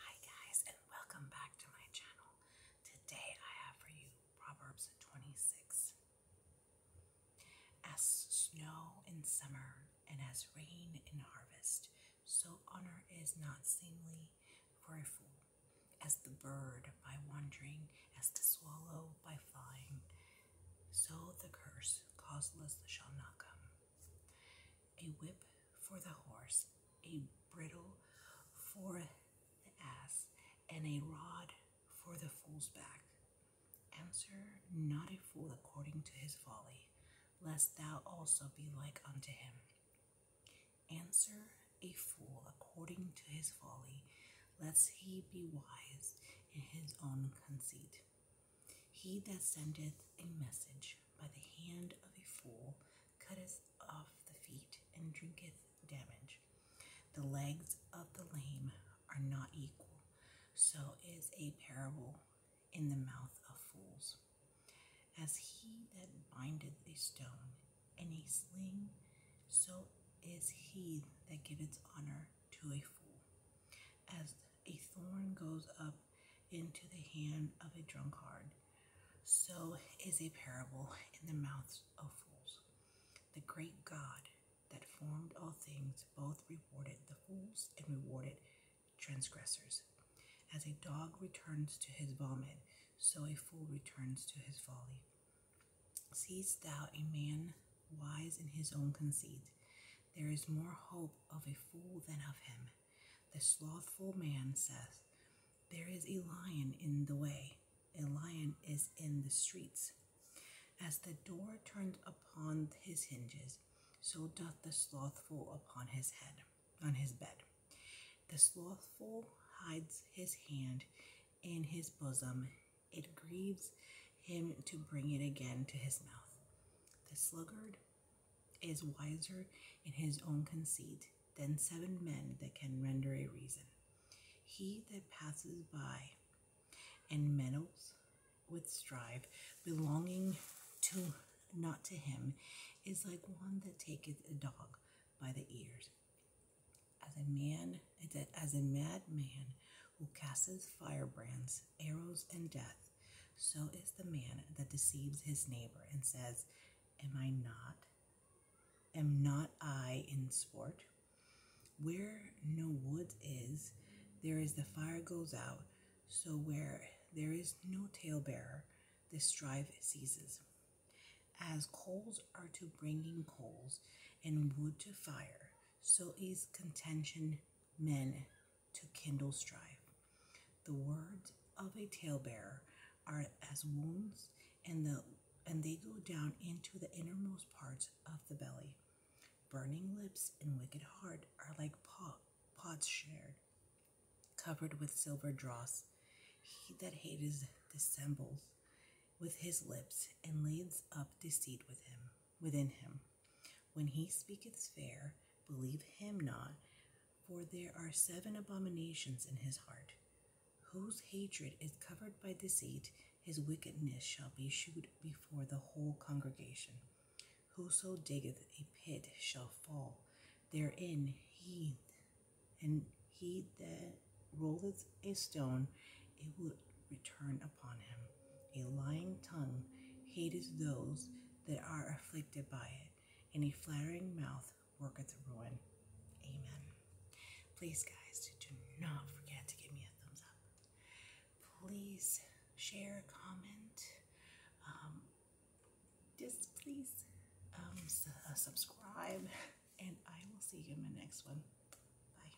Hi guys and welcome back to my channel. Today I have for you Proverbs 26. As snow in summer and as rain in harvest, so honor is not seemly for a fool, as the bird by wandering, as the swallow by flying, so the curse causeless shall not come. A whip for the horse, a bridle for the ass, and a rod for the fool's back. Answer not a fool according to his folly, lest thou also be like unto him. Answer a fool according to his folly, lest he be wise in his own conceit. He that sendeth a message by the hand of a fool cutteth off the feet and drinketh damage. The legs of the lame are not equal, so is a parable in the mouth of fools. As he that bindeth a stone in a sling, so is he that giveth honor to a fool. As a thorn goes up into the hand of a drunkard, so is a parable in the mouths of fools. The great God that formed all things both rewarded the fools and rewarded transgressors. As a dog returns to his vomit, so a fool returns to his folly. Seest thou a man wise in his own conceit? There is more hope of a fool than of him. The slothful man says, There is a lion in the way, a lion is in the streets. As the door turned upon his hinges, so doth the slothful upon his head, on his bed. The slothful hides his hand in his bosom, it grieves him to bring it again to his mouth. The sluggard is wiser in his own conceit than seven men that can render a reason. He that passes by and meddles with strife belonging to not to him is like one that taketh a dog by the ears. As a man, as a mad man who casteth firebrands, arrows, and death so is the man that deceives his neighbor and says, Am I not? Am not I in sport? Where no wood is, there is the fire goes out, so where there is no tale bearer, the strife ceases. As coals are to bringing coals and wood to fire, so is contention men to kindle strife. The words of a talebearer are as wounds, and the and they go down into the innermost parts of the belly. Burning lips and wicked heart are like pot, pots shared, covered with silver dross. He that hateth dissembles with his lips and lays up deceit with him within him. When he speaketh fair, believe him not, for there are seven abominations in his heart, whose hatred is covered by deceit, his wickedness shall be shewed before the whole congregation. Whoso diggeth a pit shall fall therein, he and he that rolleth a stone, it will return upon him. A lying tongue hateth those that are afflicted by it. Any flattering mouth worketh ruin. Amen. Please, guys, do not forget to give me a thumbs up. Please share, comment. Um, just please um, uh, subscribe, and I will see you in my next one. Bye.